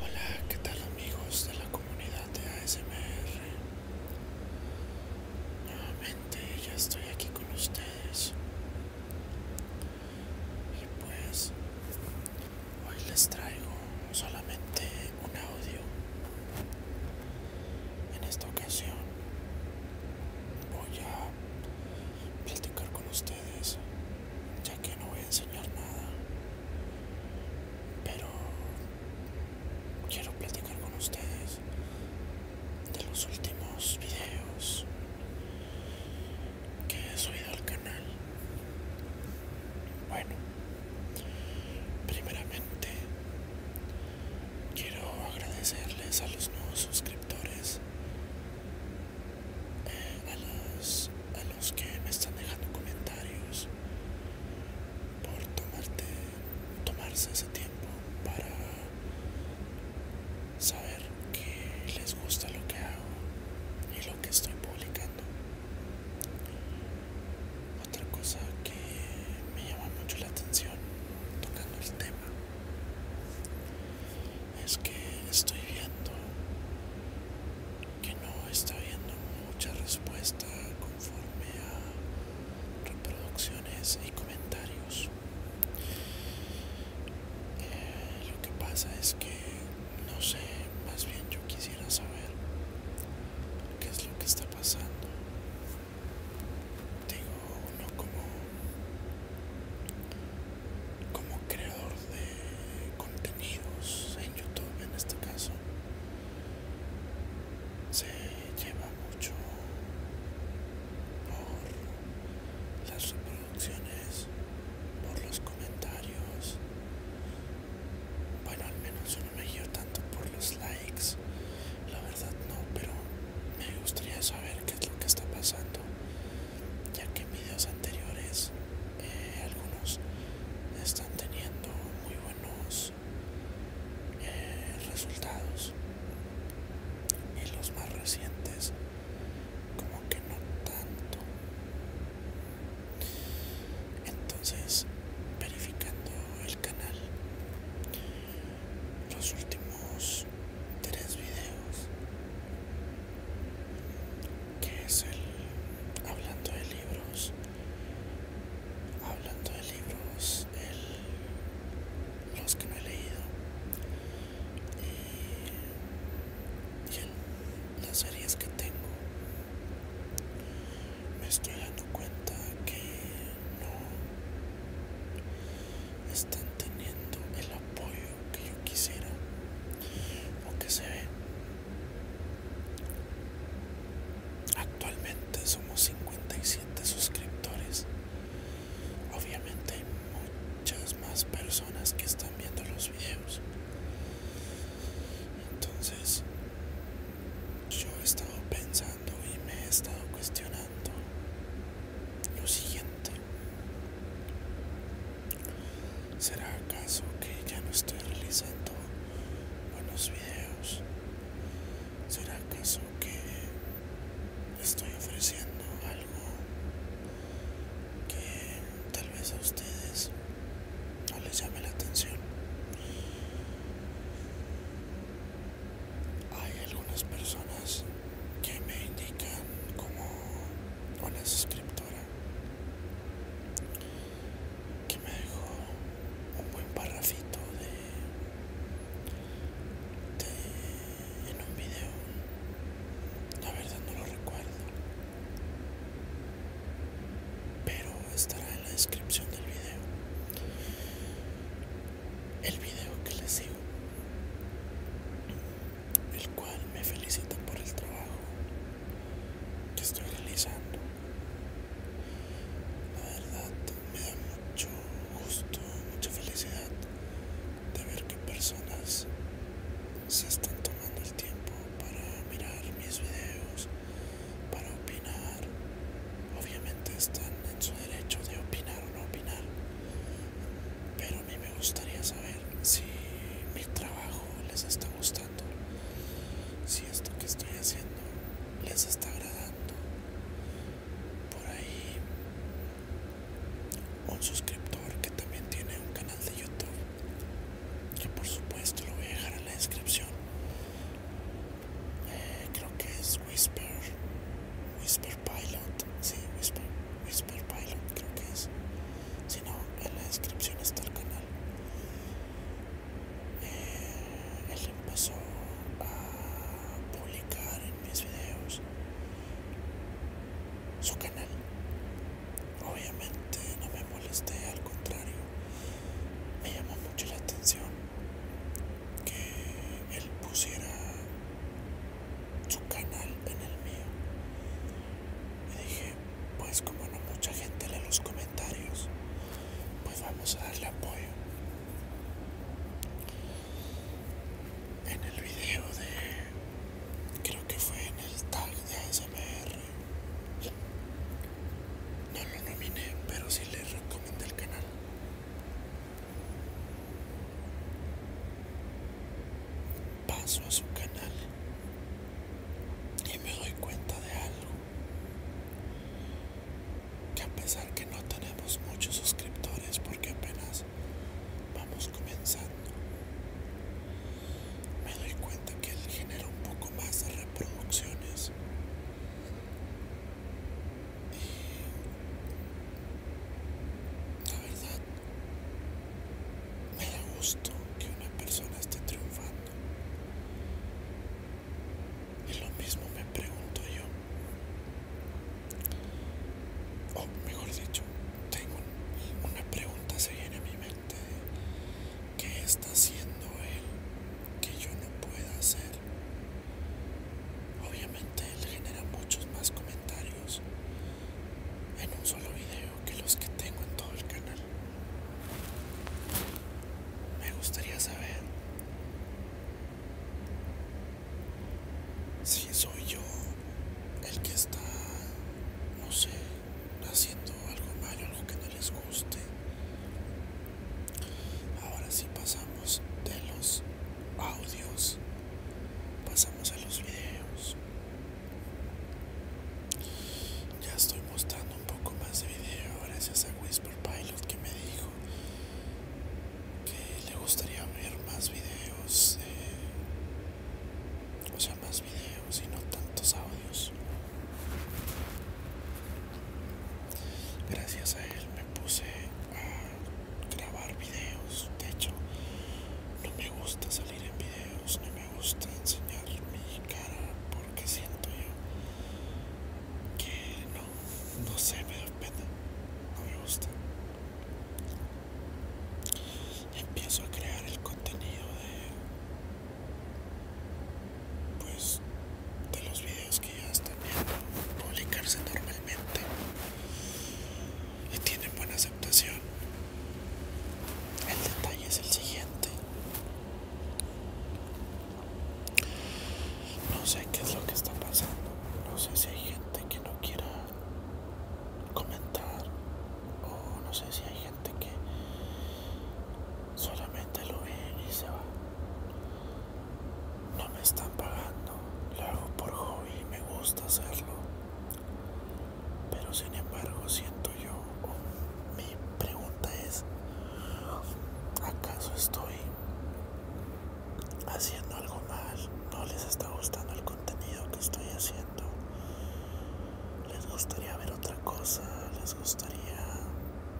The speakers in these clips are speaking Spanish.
Hola, ¿qué tal amigos de la comunidad de ASMR? Nuevamente ya estoy aquí con ustedes. Y pues hoy les traigo solamente un audio. En esta ocasión voy a platicar con ustedes, ya que no voy a enseñar nada, pero quiero platicar con ustedes de los últimos videos que he subido al canal. Bueno, primeramente quiero agradecerles a los nuevos suscriptores a, los que me están dejando comentarios por tomarse ese tiempo para saber que les gusta lo que hago y lo que estoy publicando otra cosa que me llama mucho la atención tocando el tema es que estoy viendo que no está viendo mucha respuesta conforme a reproducciones y comentarios eh, lo que pasa es que no sé más bien yo quisiera saber qué es lo que está pasando digo uno como como creador de contenidos en YouTube en este caso se lleva mucho por las reproducciones por los comentarios bueno al menos uno me guio tanto por los likes la verdad no, pero me gustaría saber qué es lo que está pasando, ya que en videos anteriores eh, algunos están teniendo muy buenos eh, resultados y los más recientes como que no tanto. Entonces, verificando el canal, los últimos tres videos que es el hablando de libros hablando de libros los que no he leído y, las series que tengo me estoy dando cuenta que no están teniendo el apoyo que yo quisiera aunque se ve. Actualmente somos 57 suscriptores. Obviamente hay muchas más personas que están viendo los videos. Entonces, yo he estado pensando y me he estado cuestionando lo siguiente. ¿Será acaso que ya no estoy realizando buenos videos? ¿Será acaso que estoy ofreciendo algo que tal vez a ustedes no les llame la atención? hay algunas personas que me indican como una escritora que me dejó un buen parrafito de, de en un video la verdad no lo recuerdo pero estará en la descripción del video el video que les digo, el cual me felicita por el trabajo que estoy realizando. La verdad me da mucho gusto, mucha felicidad de ver que personas se están tomando el tiempo para mirar mis videos para opinar. Obviamente están en su derecho de opinar o no opinar. Pero a mí me gustaría saber si mi trabajo les está gustando. Si esto que estoy haciendo les está agradando. Por ahí un suscriptor que también tiene un canal de YouTube. Que por supuesto lo voy a dejar en la descripción. Eh, creo que es Whisper, Whisper Pilot, sí, Whisper, Whisper Pilot creo que es, si no, en la descripción está el canal. Eh, él empezó a publicar en mis videos su canal. Obviamente no me molesté, al contrario, me llamó mucho la atención que él pusiera su canal en el mío. Y dije, pues como no mucha gente lee los comentarios, pues vamos a darle apoyo. En el video de... creo que fue en el tag de ASMR no lo nominé, pero sí les recomiendo el canal. Paso a su canal y me doy cuenta de algo. Que a pesar que no tenemos muchos suscriptores porque apenas vamos comenzando, me doy cuenta que él genera un poco más de reproducciones la verdad, me da gusto que una persona esté triunfando. Y lo mismo me pregunto yo. O mejor dicho, tengo una pregunta se viene a mi mente ¿Qué está haciendo él que yo no pueda hacer? Obviamente él genera muchos más comentarios en un solo video que los que tengo en todo el canal. Me gustaría saber si soy yo el que está, no sé, haciendo algo malo, algo que no les gusta. Ahora sí pasamos de los audios, pasamos a los videos. Ya estoy mostrando un poco más de video gracias a Whisper Pilot que me dijo que le gustaría ver más videos, o sea, más videos y no tantos audios. Gracias a él me puse a grabar videos. De hecho, no me gusta salir en videos, no me gusta enseñar mi cara porque siento yo que no, no sé, me da pena, no me gusta. Empiezo a crear el contenido de pues de los videos que ya están viendo publicarse normalmente y tienen buena aceptación el detalle es el siguiente no sé qué es lo que está pasando no sé si hay gente que no quiera comentar o no sé si hay gente que solamente lo ve y se va. No me están pagando, lo hago por hobby me gusta hacerlo. Pero sin embargo siento yo, mi pregunta es, ¿acaso estoy haciendo algo mal? ¿No les está gustando el contenido que estoy haciendo? les gustaría ver otra cosa, les gustaría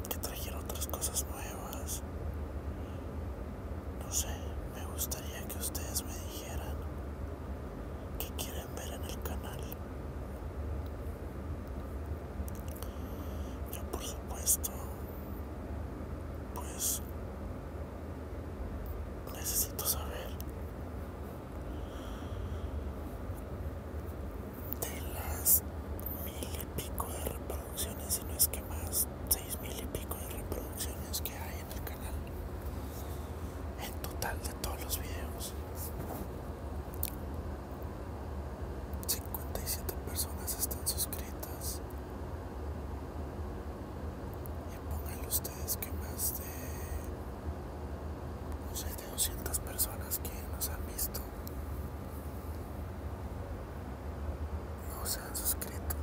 que trajera otras cosas nuevas. No sé, me gustaría que ustedes me dijeran qué quieren ver en el canal. Yo por supuesto, pues necesito saber de las mil y pico de reproducciones, y no es que más, seis mil y pico de reproducciones que hay en el canal, en total de todos los videos. 57 personas están suscritas y pongan ustedes que más de no sé 200 personas que nos han visto no se han suscrito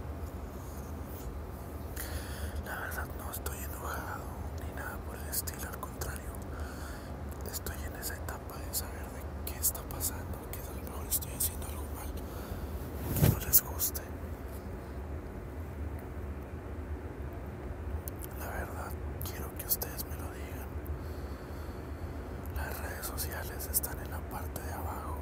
la verdad no estoy enojado ni nada por el estilo al contrario estoy en esa etapa de saber de qué está pasando que a lo mejor estoy haciendo algo mal que no les guste la verdad, quiero que ustedes me lo digan. Las redes sociales están en la parte de abajo.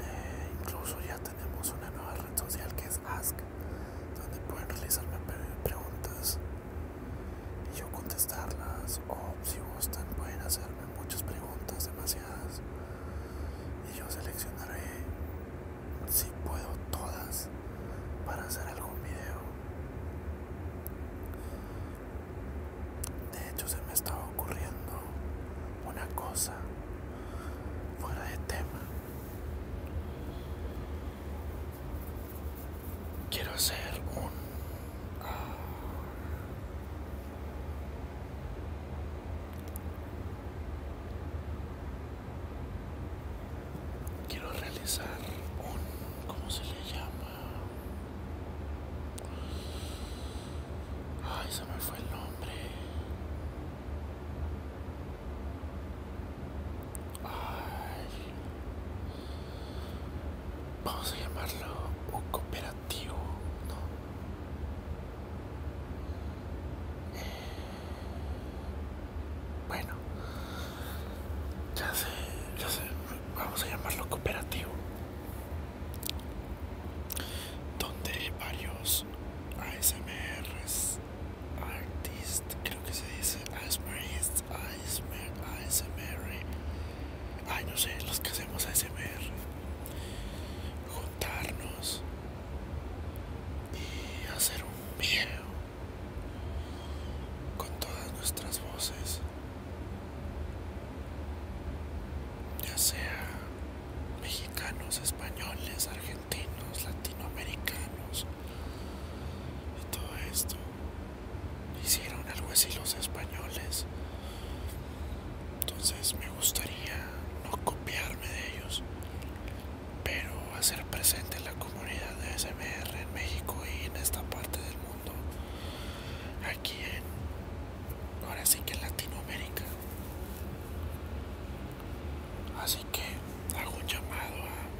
Eh, incluso ya tenemos una nueva red social que es Ask, donde pueden realizarme preguntas y yo contestarlas. O si gustan, pueden hacerme muchas preguntas, demasiadas, y yo seleccionaré si puedo todas para hacer algún video de hecho se me estaba ocurriendo una cosa fuera de tema quiero hacer un ah, Quiero realizar un, ¿cómo se le llama? Ay, se me fue el nombre. Ay. Vamos a llamarlo un cooperativo, ¿no? Bueno, ya sé, ya sé, vamos a llamarlo cooperativo. Donde varios ASMRs, artist, creo que se dice ASMRs, ASMR, ASMR, ay no sé, los que hacemos ASMR, juntarnos y hacer un video con todas nuestras voces, ya sea mexicanos, españoles, argentinos, latinoamericanos y todo esto hicieron algo así los españoles entonces me gustaría no copiarme de ellos, pero hacer presente la comunidad de SMR en México y en esta parte del mundo, aquí en, ahora sí que en Latinoamérica. Así que hago un llamado a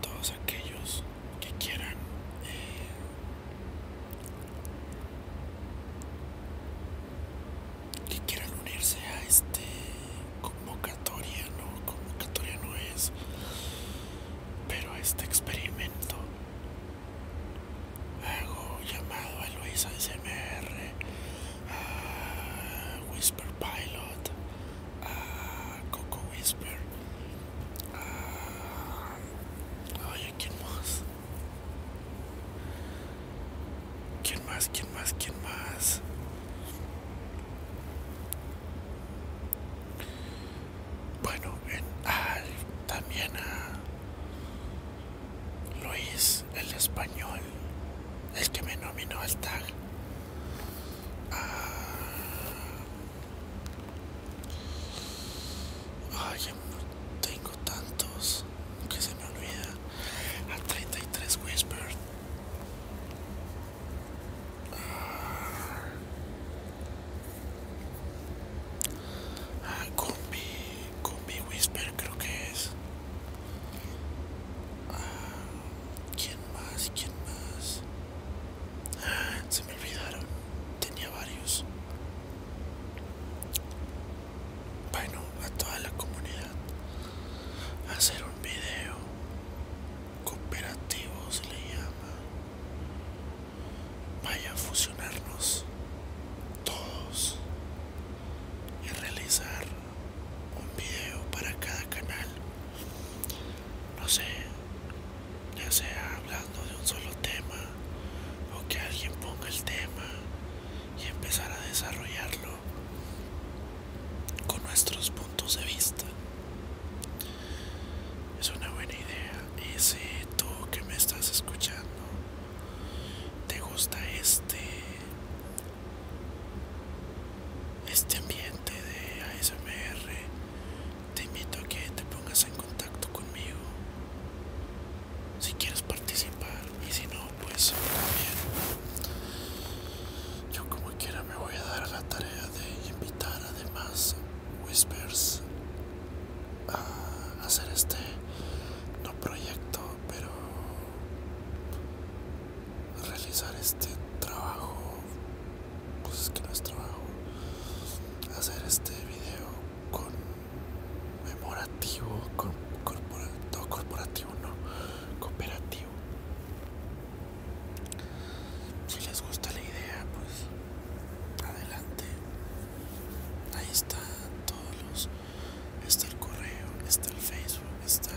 todos aquellos que quieran eh, que quieran unirse a este convocatoria, no, convocatoria no es, pero este experimento. Hago llamado a Luis ASMR, a Whisper Pilot, a Coco Whisper, a. Ay, quién más? ¿Quién más? ¿Quién más? ¿Quién más? Bueno, en, también a Luis, el español, el que me nominó al tag. Ah, tengo tantos que se me olvida. A 33 Whisper. Ah. ah, combi, combi Whisper creo que es. Ah, ¿Quién más? ¿Quién más? Ah, se me olvidaron. Tenía varios bueno a toda la comunidad hacer un video cooperativo se le llama vaya a fusionarnos todos y realizar un video para cada canal no sé ya sea hablando de un solo tema o que alguien ponga el tema y empezar a desarrollarlo con nuestros puntos de vista. Es una buena idea y si tú que me estás escuchando te gusta este este ambiente de ASMR te invito a que te pongas en contacto conmigo si quieres participar y si no pues también yo como quiera me voy a dar la tarea de invitar además whispers a hacer este no proyecto pero realizar este trabajo pues es que no es trabajo hacer este video conmemorativo, con, corpora, corporativo, no, cooperativo. Si les gusta la idea, pues adelante. Ahí está todos los, está el correo, está el Facebook, está...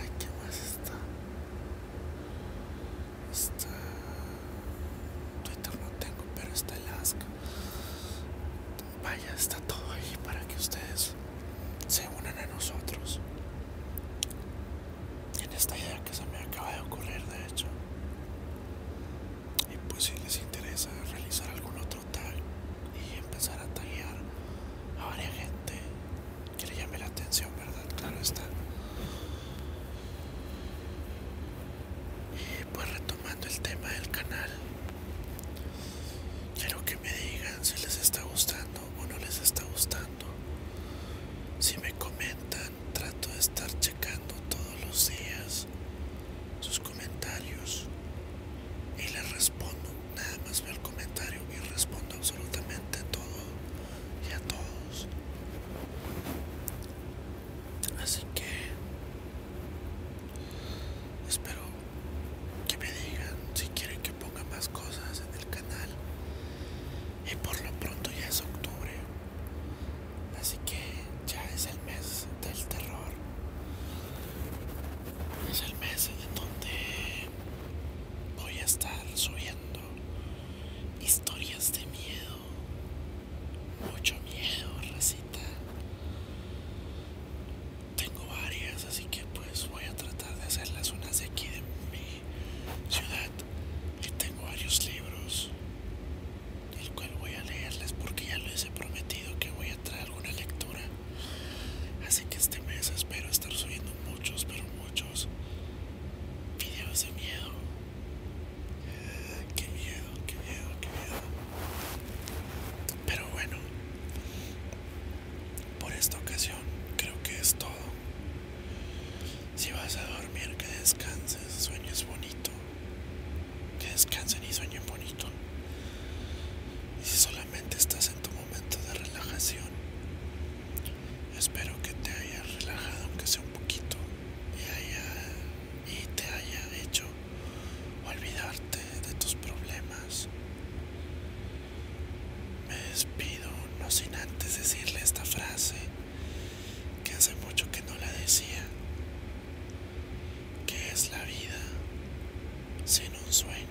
Ay, ¿qué más está? Está. Twitter no tengo, pero está el asco. Vaya, está todo ahí para que ustedes se unan a nosotros. En esta idea que se me acaba de ocurrir, de hecho. Y pues si les interesa realizar algún otro tag y empezar a taggear a varias gente Quiere llamar la atención, ¿verdad? Claro está. Y pues retomando el tema del canal, quiero que me digan si les está gustando o no les está gustando. Si me comentan, trato de estar checando todos los días sus comentarios y les respondo. Nada más veo el comentario y respondo absolutamente todo y a todos. Así que espero que me digan si quieren que ponga más cosas en el canal. Y por lo pronto ya es octubre. Así que ya es el mes del terror. Es el mes en donde voy a estar subiendo Historias de miedo. Mucho miedo, racita. Tengo varias, así que pues voy a tratar de hacerlas unas de aquí de mi ciudad. Y tengo varios libros, el cual voy a leerles porque ya les he prometido que voy a traer alguna lectura. Así que este mes espero estar subiendo muchos, pero muchos videos de miedo. Qué miedo, qué miedo, qué miedo. Pero bueno, por esta ocasión creo que es todo. Si vas a dormir, que descanses, sueñes bonito. Que descansen y sueñen bonito. Y si solamente estás en tu momento de relajación, Espero que te hayas relajado aunque sea un poquito y, y te haya hecho olvidarte de tus problemas. Me despido no sin antes decirle esta frase que hace mucho que no la decía, que es la vida sin un sueño.